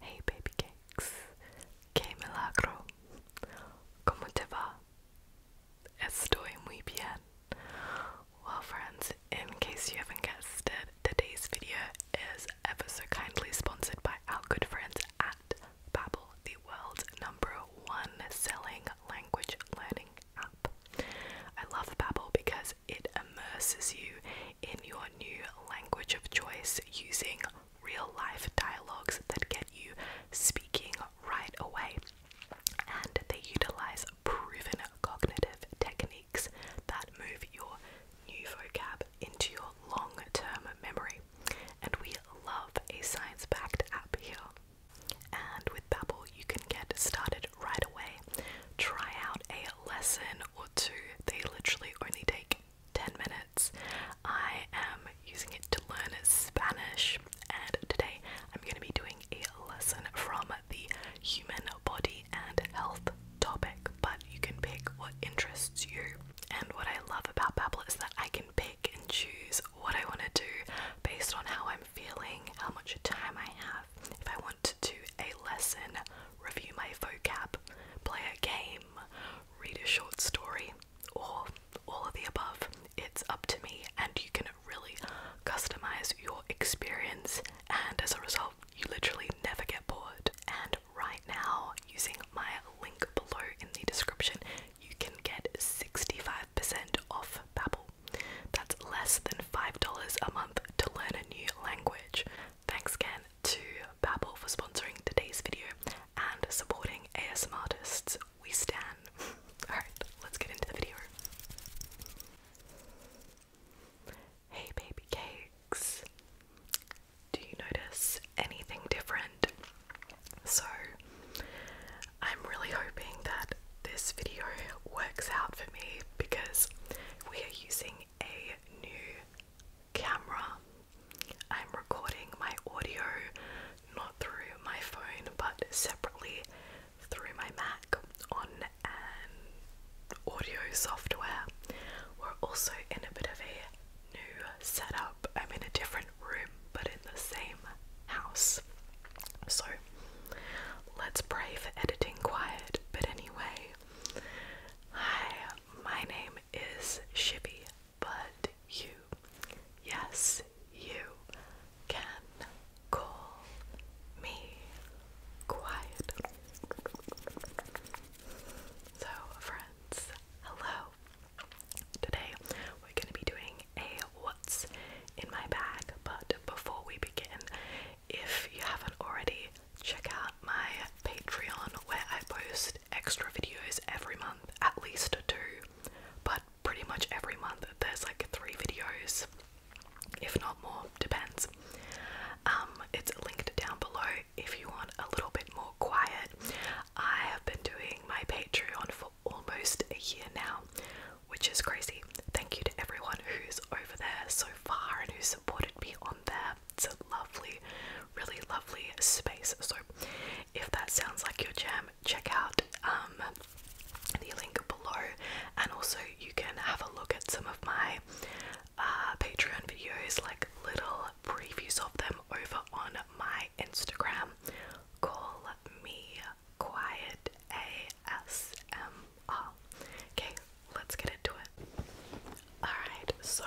Hey baby cakes, que milagro, como te va? Estoy muy bien. Well, friends, in case you haven't guessed today's video is ever so kindly sponsored by our good friends at Babbel, the world's number one selling language learning app. I love Babbel because it immerses you in your new language of choice using real life dialogues that get you speaking right away. And they utilize proven cognitive techniques that move your new vocab into your long term memory. And we love a science backed app here. And with Babbel, you can get started right away. Try out a lesson or two. They literally only take 10 minutes. I am using it to learn Spanish, and today I'm going to be doing a lesson from the human body and health topic, but you can pick what interests you. And what I love about Babbel is that I can pick and choose what I want to do based on how I'm feeling, how much time I have. If I want to do a lesson review my vocab, play a game, read a short story, or all of the above. It's up to me, and you can really customize your experience, and as a result, you literally never get bored. And right now, using my link below in the description, you can get 65% off Babbel. That's less than $5 a month to learn a new language. Thanks Ken to Babble for sponsoring today's video and supporting ASM artists. We stand. Alright, let's get into the video. Hey baby cakes. Do you notice anything different? So, I'm really hoping that this video works out for me because we are using a new camera. I'm recording my audio not through my phone but separately through my Mac on um, audio software. We're also in a bit of a new setup. I'm in a different room but in the same house. So let's pray for editing quiet. But anyway, hi, my name is Shippy, but you, yes, you can call me quiet. So, friends, hello. Today we're going to be doing a what's in my bag, but before we begin, if you haven't already, check out my Patreon where I post extra videos every month, at least two, but pretty much every month there's like three videos, if not more, depends. Um, it's linked down below if you want a little bit more quiet. I have been doing my Patreon for almost a year now, which is crazy. Thank you to everyone who's over there so far and who supported me on there it's a lovely, really lovely space. So, if that sounds like your jam, check out um, the link below, and also you can have a look at some of my uh, Patreon videos, like little previews of them, over on my Instagram. Call me Quiet ASMR. Okay, let's get into it. Alright, so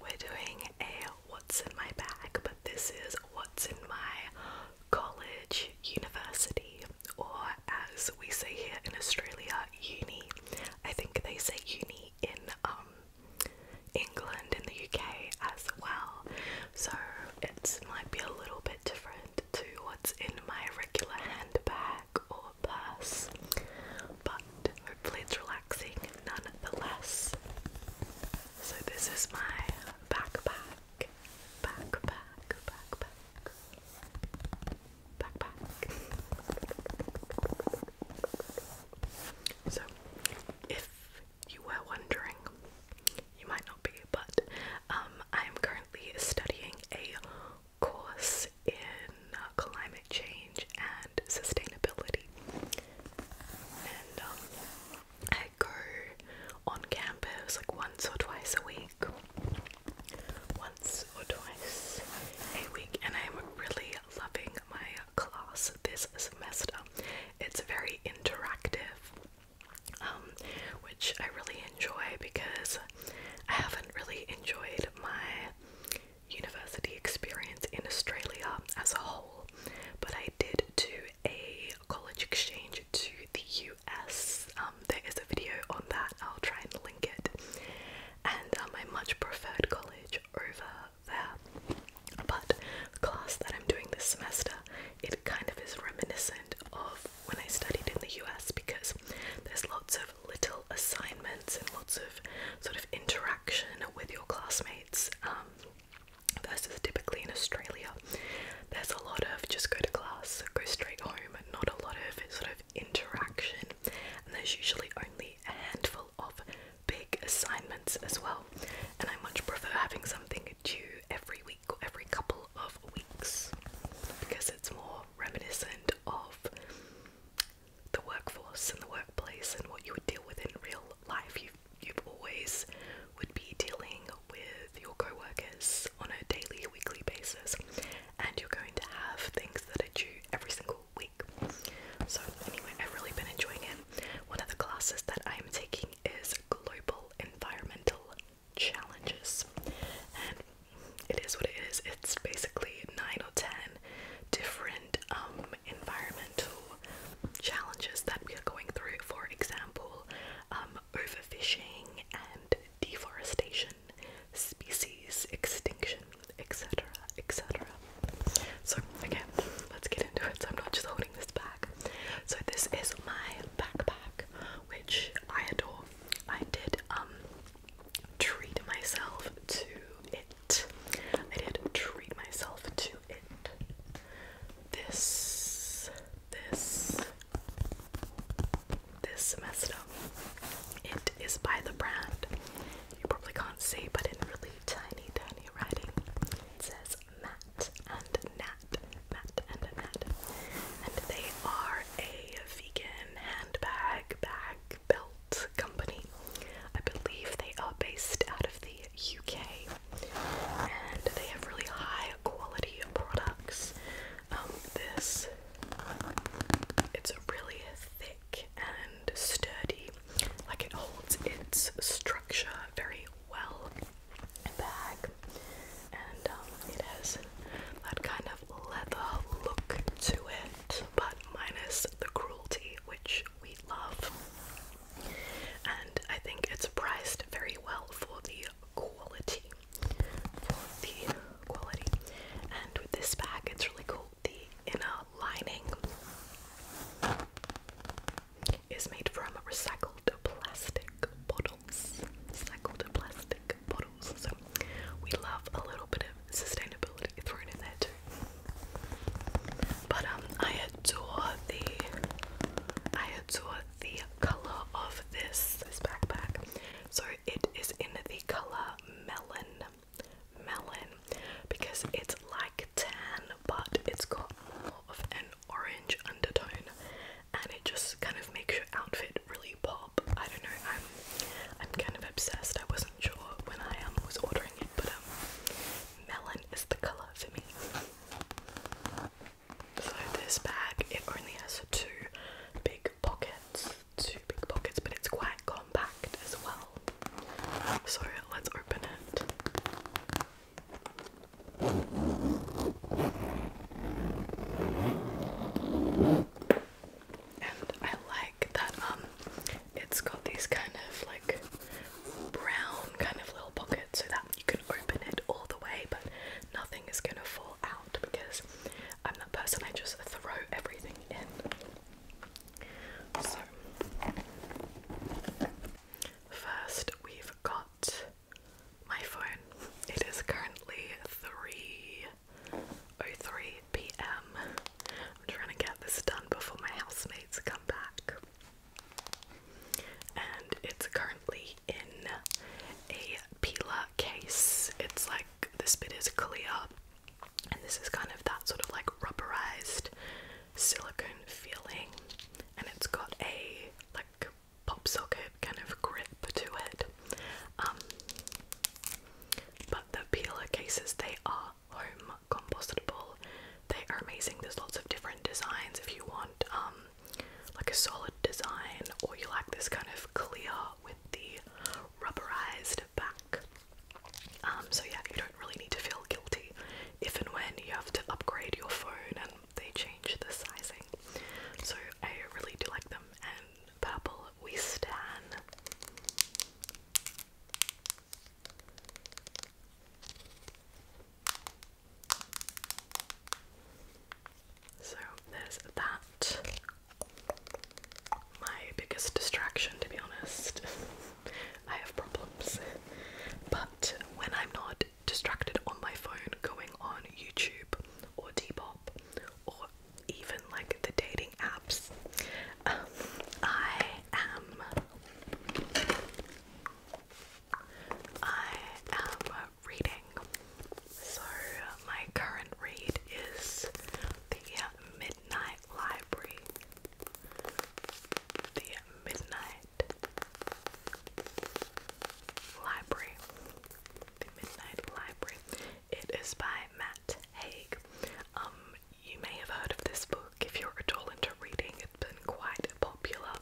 we're doing a what's in my bag, but this is what's in my college, university, or as we say here in Australia, uni. I think they say uni in um, England and the UK as well. So it might be a little bit different to what's in my regular handbag or purse but hopefully it's relaxing nonetheless. So this is my backpack, backpack, backpack, backpack. So if you were wondering, you might not be, but um, I am currently studying a course in uh, climate change and sustainability. And um, I go on campus like once or twice a week, once or twice a week, and I'm really loving my class this semester. It's very interactive, um, which I really enjoy because I haven't really enjoyed my university experience in Australia as a whole, but I did do a college exchange to the US. Um, there is a video on that, I'll try and link it. And um, I much preferred college over there. But class that I'm doing this semester, it kind of is reminiscent of when I studied in the US because there's lots of little assignments and lots of sort of interaction with your classmates um, versus typically in Australia, there's a lot of just go to class, go straight home, not a lot of sort of interaction, and there's usually only a handful of big assignments as well. And I much prefer having something due every week or every couple of weeks because it's more reminiscent of the workforce and the workplace and what you would deal with in real life. You you always would be dealing with your coworkers on a daily, weekly basis, and you're going to have things that are due every single week. So anyway, I've really been enjoying it. One of the classes that I am taking is global environmental challenges, and it is what it is. It's basically nine or ten different um, environmental challenges that we are going through. For example, um, overfishing and deforestation, species extinction, etc., etc. So, okay, let's get into it. So I'm not just holding this back. So this is my backpack, which I adore. I did um, treat myself to a it. I did treat myself to it. This, this, this messed It is by the brand. You probably can't see, but in really tiny, tiny writing, it says Matt and Nat. Matt and Nat. And they are a vegan handbag, bag, belt. Company. I believe they are based out of the UK and they have really high quality products. Um, this, it's really thick and sturdy, like it holds its structure very well bag, and um, it has that kind of leather look to it, but minus the cruelty, which we love. And I think it's priced very well for the quality. For the quality. And with this bag, it's really cool. The inner lining is made from recycled plastic bottles. Recycled plastic bottles. we love a little bit sustainability thrown in there too. But um, I adore the, I adore the color of this this backpack. So it is in the color melon, melon, because it's like tan, but it's got more of an orange undertone, and it just kind of makes your outfit really pop. I don't know. I'm I'm kind of obsessed. I wasn't sure when I um was ordering it, but um, melon is the color for me. So this bag, it only has two big pockets, two big pockets, but it's quite compact as well. So let's open it. And I like that um it's got these kind of like brown kind of little pockets so that you can open it all the way but nothing is gonna fall out because I'm that person I just throw everything in. So first we've got my phone. It is currently three oh three p.m. I'm trying to get this done before my housemates come back. And it's currently in a Pila case. It's like this bit is clear, and this is kind of that sort of like rubberized silicone feeling, and it's got a like pop socket kind of grip to it. Um, but the Pila cases, they are home compostable. They are amazing. There's lots of different designs if you want um, like a solid design or you like this kind of clear with the rubberized back. Um, so yeah, you don't really need to feel guilty if and when you have to upgrade your phone and they change the sizing. So I really do like them and purple we stand. So there's that. My biggest distraction, to be honest. I have problems. But when I'm not distracted on my phone going on YouTube or Depop or even like the dating apps, um, I am I am reading. So, my current read is The Midnight Library. The Midnight Library. The Midnight Library. It is by Matt Haig. Um, you may have heard of this book if you're at all into reading, it's been quite popular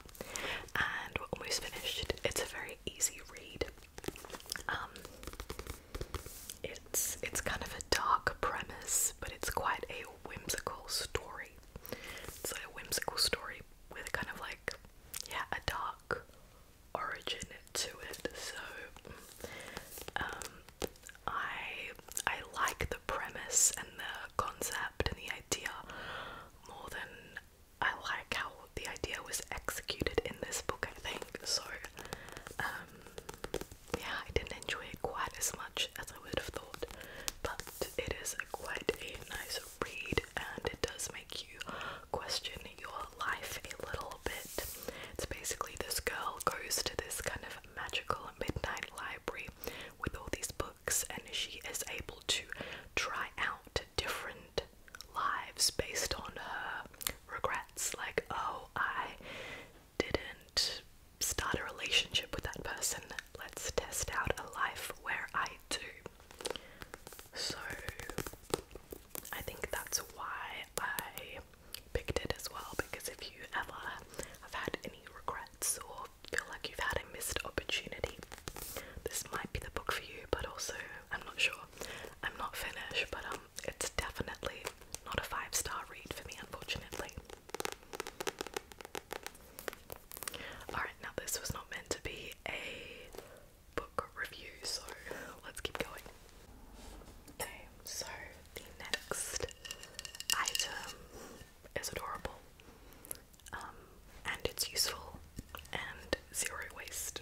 and we're almost finished. It's a very easy read. Um, it's it's kind of a dark premise, but it's quite a whimsical story. It's like a whimsical story with a kind of like yeah, a dark origin to it. So um, I I like the premise and the concept and the idea more than I like how the idea was executed in this book, I think. So, um, yeah, I didn't enjoy it quite as much as I would have thought, but it is quite a nice read and it does make you question your life a little bit. It's basically this girl goes to this kind of magical midnight library with all these books, and she is able to try out different lives based on her regrets. Like, oh, I didn't start a relationship with that person. Let's test out a life where I do. So, I think that's why I picked it as well because if you ever have had any regrets or feel like you've had a missed opportunity, this might be the book for you, but also, I'm not sure. I'm not finished, but um, it's definitely not a five star read for me, unfortunately. Alright, now this was not meant to be a book review, so let's keep going. so the next item is adorable. Um, and it's useful and zero waste.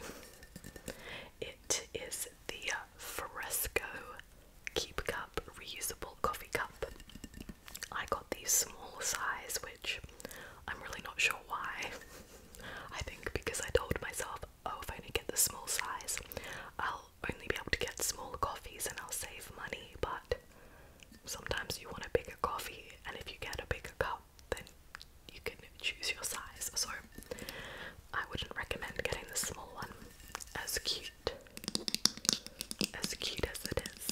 It is the Fresco Keep Cup reusable coffee cup. I got the small size, which I'm really not sure why. I think because I told myself, oh, if I only get the small size, I'll only be able to get small coffees and I'll save money, but sometimes you want a bigger coffee, and if you get a bigger cup, then you can choose your size. So I wouldn't recommend getting the small one, as cute as cute as it is.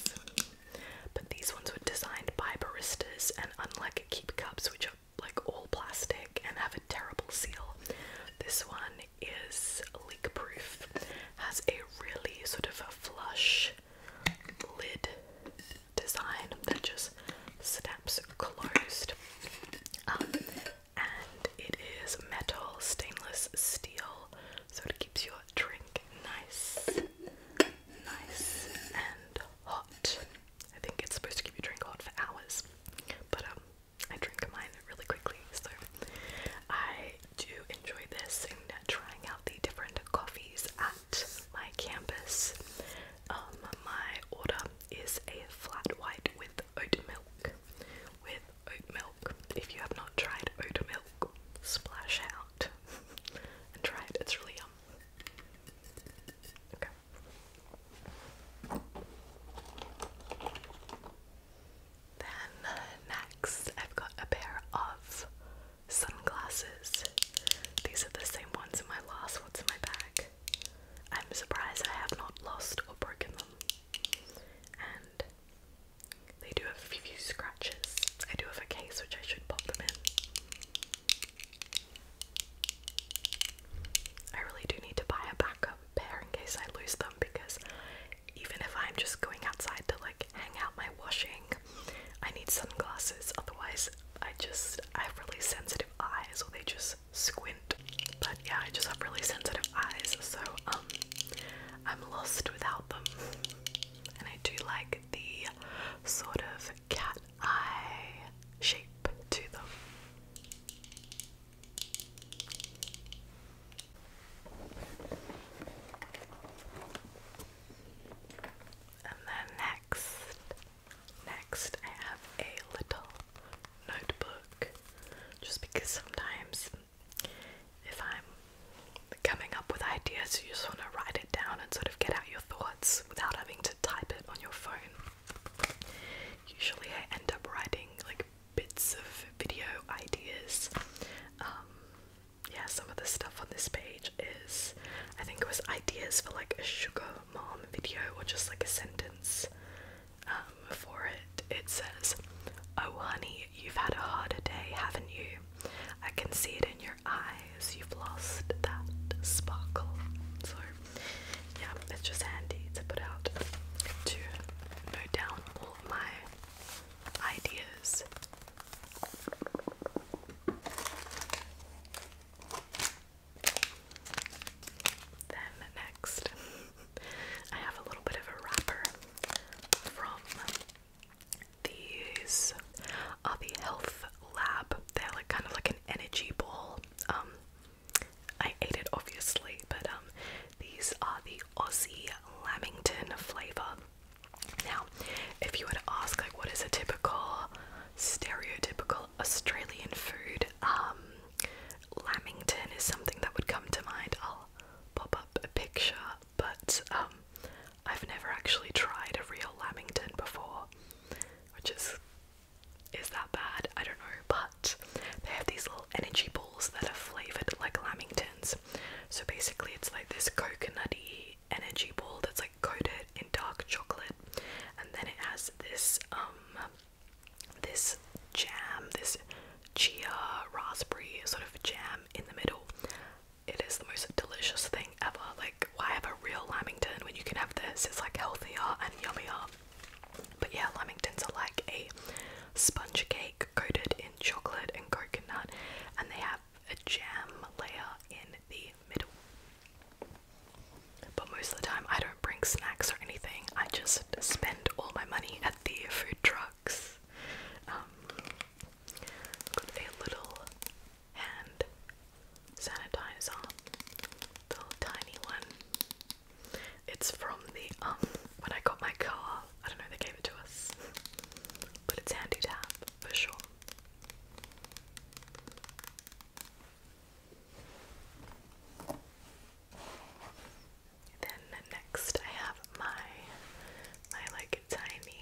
But these ones were designed by baristas, and unlike keep cups, which are like all plastic and have a terrible seal, this one is leak proof has a really sort of a flush lid design that just snaps closed. and it is metal stainless steel, so it keeps your drink nice, nice and hot. I think it's supposed to keep your drink hot for hours, but um, I drink mine really quickly, so I do enjoy this and trying out the different coffees at my campus. Um, my order is a flat white with oat milk. With oat milk. If you have not tried oat milk, splash out and try it. It's really yum. Okay. Then uh, next, I've got a pair of sunglasses. These are the same ones in my last ones in my bag. I'm surprised I have not lost or broken them. And they do have a few scratches. I do have a case which I should pop them in. I really do need to buy a backup pair in case I lose them because even if I'm just going outside to like hang out my washing, I need sunglasses. Otherwise, I just I have really sensitive eyes, or they just squint. But yeah, I just have really sensitive eyes, so um, I'm lost without them. And I do like the sort of cat eye shape to them. And then next, next I have a little notebook just because sometimes if I'm coming up with ideas, you just want to write it down and sort of get out your thoughts without having to type it on your phone. Usually, I end up writing like bits of video ideas um, yeah, some of the stuff on this page is I think it was ideas for like a sugar mom video or just like a sentence um, for it. It says, Oh, honey, you've had a harder day, haven't you? I can see it in your eyes. You've lost that sparkle. So, yeah, it's just handy to put out to note down all my ideas then next, I have a little bit of a wrapper from these are uh, the health lab. They're like kind of like an energy ball. Um, I ate it obviously, but um, these are the Aussie Lamington flavor. Now, if you were to ask, like, what is a typical, stereotypical Australian food, um, lamington is something that would come to mind. I'll pop up a picture, but um, I've never actually tried a real lamington before, which is is that bad? I don't know, but they have these little energy balls that are flavored like lamington so basically, it's like this coconutty energy ball that's like coated in dark chocolate, and then it has this um, this jam, this chia raspberry sort of jam in the middle. It is the most delicious thing ever. Like, why have a real Lamington when you can have this? It's like healthier and yummier. But yeah, Lamingtons are like a sponge cake coated in chocolate and coconut, and they have a jam layer in the middle. But most of the time, I don't bring snacks or anything. I just spend all my money at the food trucks. Um, a little hand sanitizer, little tiny one. It's from the um when I got my car. I don't know they gave it to us, but it's handy to have for sure. Then next I have my my like tiny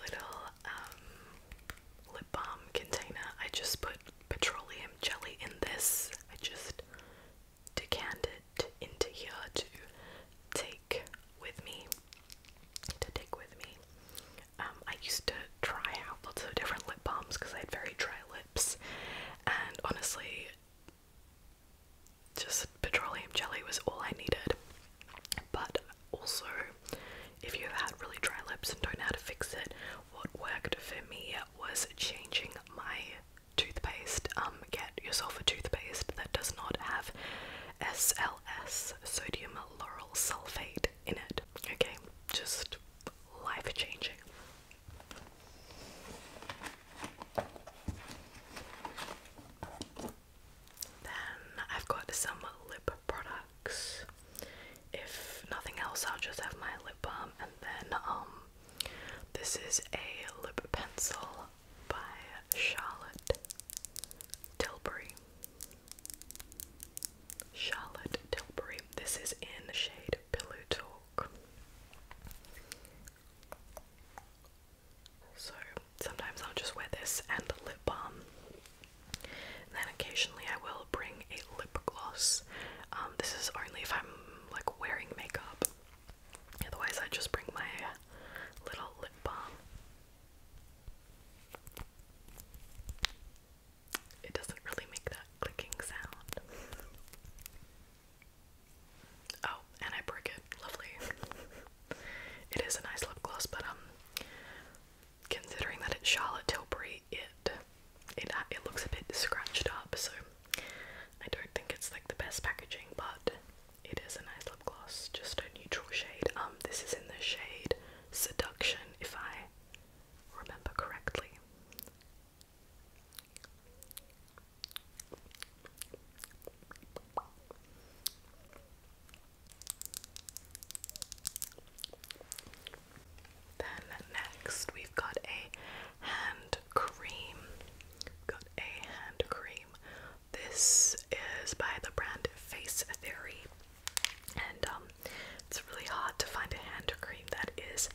little um, lip balm container. I just put petroleum jelly in this. I just decant it into here to take with me. To take with me. Um, I used to try out lots of different lip balms because I had very dry lips, and honestly, just petroleum jelly was all I needed. But also, if you've had really dry lips and don't know how to fix it, what worked for me was changing my toothpaste. Um, get yourself a toothpaste that does not have SLS, sodium lauryl sulfate, in it. Okay, just life changing. Then I've got some lip products. If nothing else, I'll just have my lip balm, and then um, this is a lip pencil by Charlotte Tilbury. Charlotte Tilbury. This is in the shade Pillow Talk. So sometimes I'll just wear this and a lip balm. then occasionally I will bring a lip gloss. Um, this is only if I'm like wearing makeup. Otherwise I just bring my little lip balm. It doesn't really make that clicking sound. Oh, and I break it. Lovely. it is a nice lip gloss, but um, considering that it's Charlotte Tilbury, it it uh, it looks a bit scratched up, so I don't think it's like the best packaging. But it is a nice lip gloss, just a neutral shade. Um, this is in the shade Seduction, if I remember correctly. Then next we've got a hand cream. We've got a hand cream this is by the brand Face Theory, and um, it's really hard to find a hand cream that is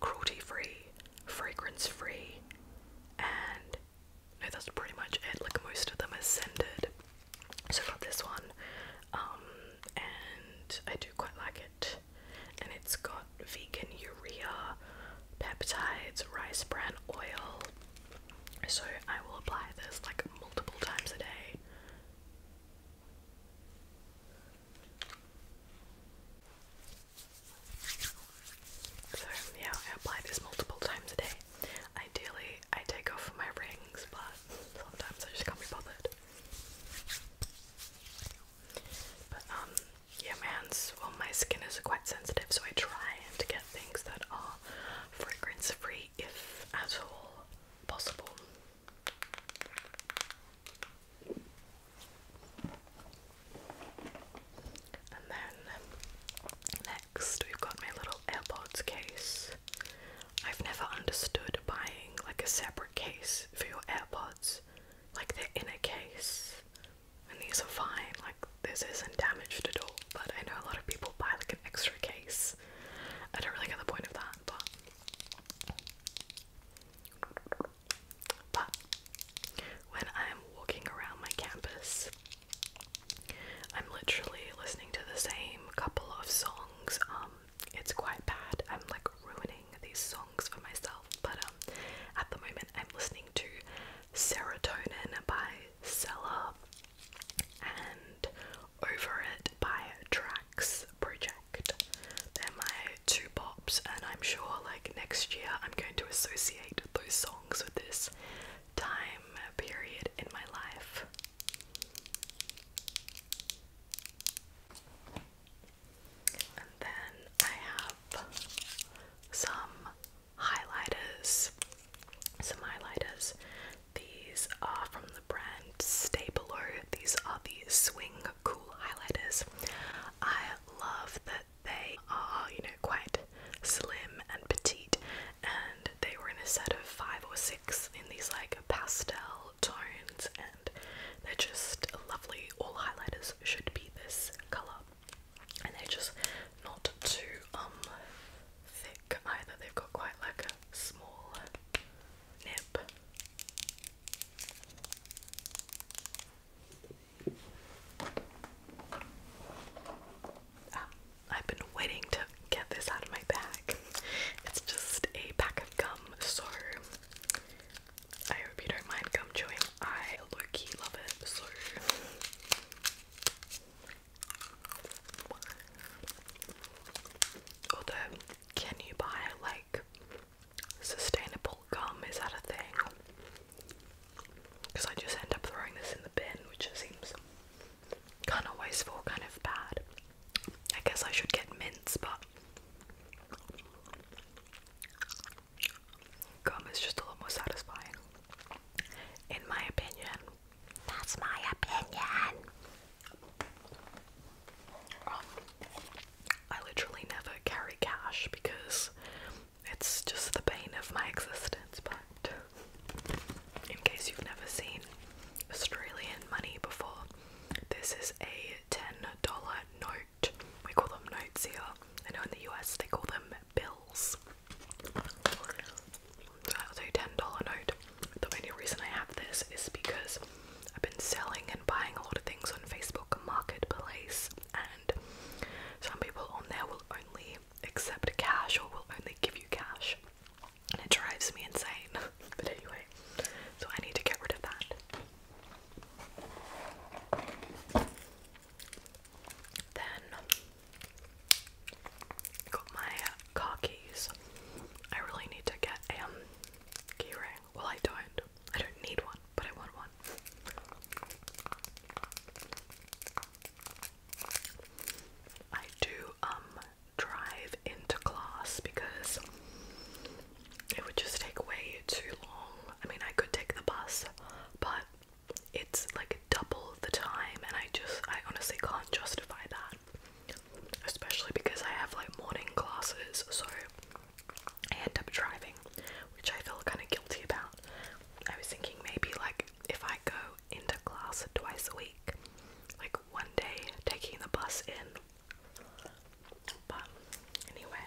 cruelty free, fragrance free, and no, that's pretty much it. Like most of them are scented, so for this one, um, and I do quite like it. And it's got vegan urea, peptides, rice bran oil, so I will apply this like multiple times a day. So yeah, I apply this multiple times a day. Ideally, I take off my rings, but sometimes I just can't be bothered. But um, yeah, my hands, well, my skin is quite sensitive, so I try and get things that are fragrance-free if at all possible. And then um, next, we've got my little AirPods case. I've never understood buying like a separate case for your AirPods, like they're in a case. And these are fine, like this isn't damaged at all, but I know a lot of people buy like an extra case I don't really get the point of that, but when I'm walking around my campus, I'm literally listening to the same couple of songs. Um, it's quite bad. I'm like ruining these songs for myself, but um, at the moment I'm listening to Serotonin by Sella and over It by Tracks Project. They're my two pops, and I'm sure like next year I'm going to associate those songs with this time period in my life. And then I have some highlighters some highlighters. These are from the brand Stay Below. These are the Swing Cool highlighters. I love that they are, you know, quite slim and petite, and they were in a set of five or six in these like pastel tones, and they're just lovely. All highlighters should be this color, and they're just not too um thick either. They've got quite like small nip. Ah, I've been waiting to get this out of my bag. It's just a pack of gum, so I hope you don't mind gum chewing. I low love it, so Although, can you buy like sustainable gum? Is that a thing? Because I just end up throwing this in the bin, which seems kind of wasteful, kind of bad. I guess I should get mints, but gum is just a lot more satisfying, in my opinion. That's my opinion. Um, I literally never carry cash because it's just the bane of my existence. But in case you've never seen Australian money before, this is a ten dollar note. We call them notes here. I know in the US they call them bills. So that was a $10 note. The only reason I have this is because I've been selling and buying a lot of things on Facebook Marketplace, and some people on there will only accept cash or will only give you cash, and it drives me insane. but anyway, so I need to get rid of that. Then Got my uh, car keys. I really need to get a keyring. Um, key Well, I don't. I don't need one, but I want one. I do um drive into class because it would just take way too long. I mean, I could take the bus, but it's like double the time, and I just I honestly can't justify that especially because I have like morning classes, so I end up driving, which I feel kind of guilty about. I was thinking maybe like if I go into class twice a week, like one day taking the bus in. But anyway,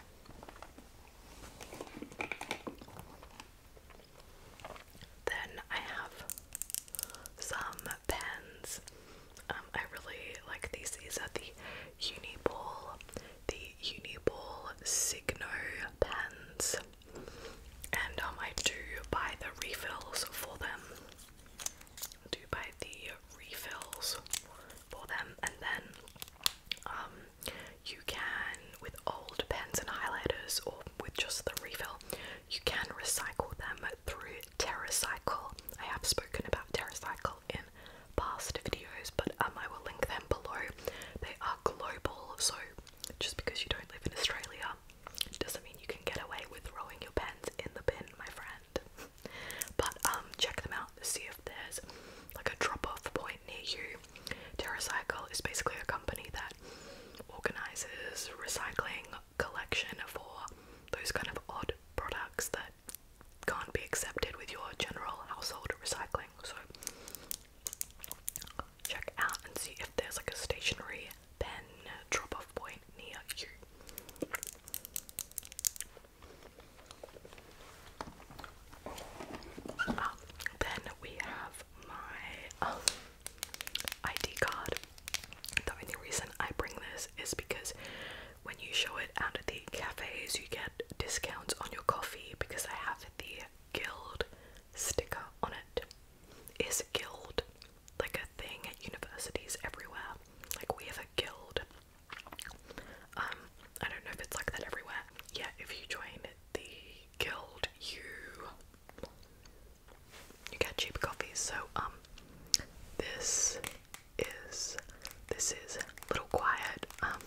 then I have some pens. Um, I really like these. These are the Uni Uniball, the Uni Uniball Signo pens, and um, I do buy the refills for them. do buy the refills for them, and then um, you can with old pens and highlighters, or with just the refill, you can recycle them through TerraCycle. I have spoken about TerraCycle in past videos, but um, I will link them below. They are global, so just because you don't live in Australia doesn't mean you can get away with throwing your pens in the bin, my friend. but um, check them out to see if there's like a drop-off point near you. TerraCycle is basically a company that organizes recycling collection for those kind of odd products that can't be accepted with your general household recycling. So check out and see if there's like a stationary pen drop off point near you. Um, then we have my um, ID card. The only reason I bring this is because when you show it out at the cafes, you get discounts on your coffee because I have the guild sticker on it. Is guild like a thing at universities everywhere? Like we have a guild. Um, I don't know if it's like that everywhere. Yeah, if you join the guild, you you get cheap coffees. So um, this is this is Little Quiet. Um,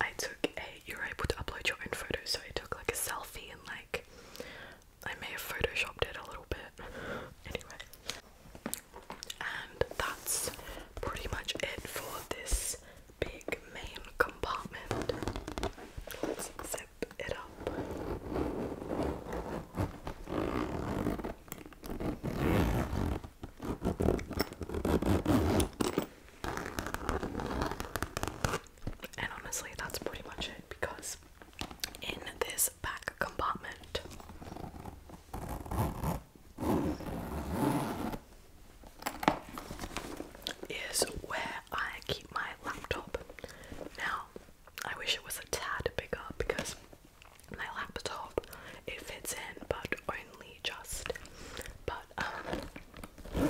I took a. You're able to upload your own photos, so I took like a selfie and like I may have photoshopped it a little bit. anyway, and that's pretty much it for this big main compartment it up. And honestly, that's pretty much it because in this back compartment, is where I keep my laptop. Now, I wish it was a tad bigger because my laptop it fits in, but only just. But um,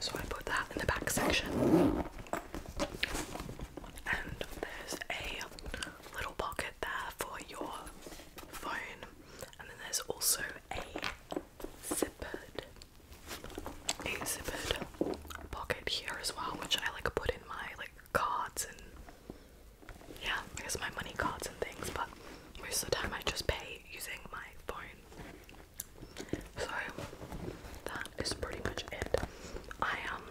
so I put that in the back section, and there's a little pocket there for your phone, and then there's also a zippered, a zippered pocket here as well, which I like put in my like cards and yeah, I my money cards and things, but most of the time I just pay using my phone. So that is pretty much it. I um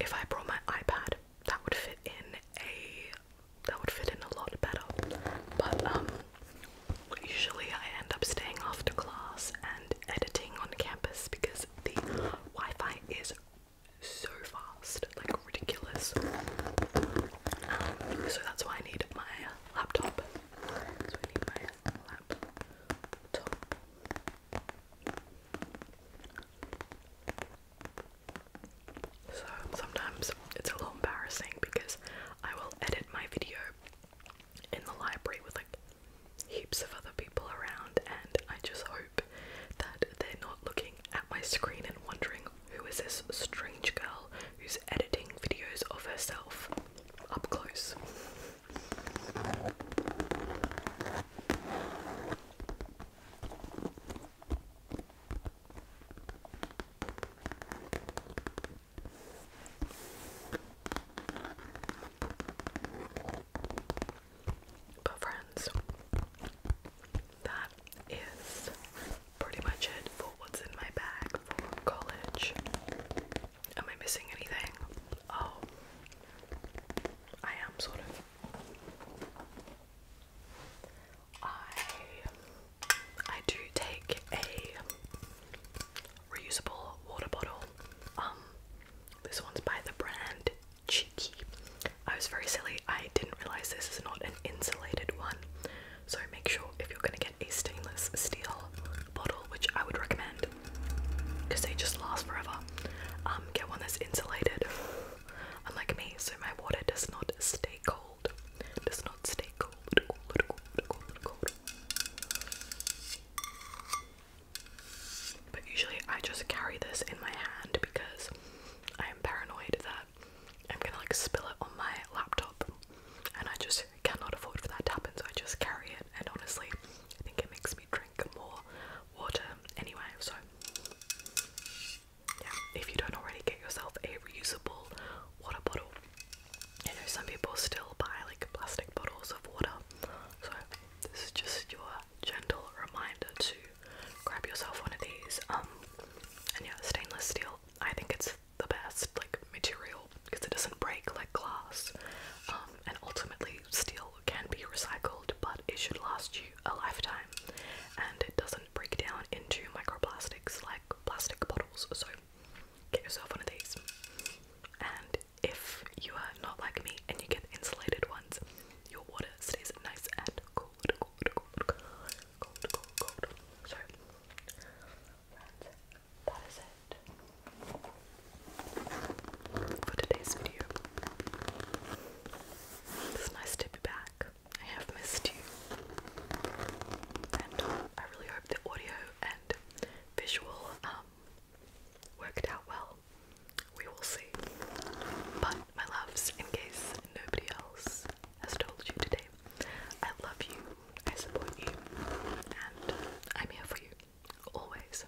if I brought my iPad that would fit in a that would fit in a lot better. But um usually I end up staying after class and editing on campus because the Wi-Fi is so fast, like ridiculous. Um, so that's why I need my laptop. So sometimes it's a little embarrassing because I will edit my video in the library with like heaps of other people around, and I just hope that they're not looking at my screen and wondering who is this strange girl who's editing videos of herself up close. But, friends, that is pretty much it what's in my bag for college. Am I missing anything? Oh, I am sort of. I I do take a reusable water bottle. Um, this one's by the brand Cheeky. I was very silly, I didn't realize this is not an insulated one. So make sure if you're gonna get a stainless steel bottle, which I would recommend because they just last forever, um, get one that's insulated. Unlike me, so my water does not stay cold. Does not stay cold. But usually I just carry this in my hand because I am paranoid that I'm gonna like spill it on my laptop and I just cannot afford for that to happen so I just carry it and honestly I think it makes me drink more water anyway so yeah if you don't already get yourself a reusable water bottle you know some people still buy like plastic bottles of water so this is just your gentle reminder to grab yourself one of these. Um, and yeah, stainless steel. I think it's the best like material because it doesn't break like glass. Um, and ultimately, steel can be recycled, but it should last you a lifetime, and it doesn't break down into microplastics like plastic bottles. So, get yourself one of these. And if you are not like me and you get insulated ones, your water stays nice and cold, cold, cold, cold, cold, cold, cold. So that is it for today's video. It's nice to be back. I have missed you. And I really hope the audio and visual um, worked out well we will see. But, my loves, in case nobody else has told you today, I love you, I support you, and uh, I'm here for you, always.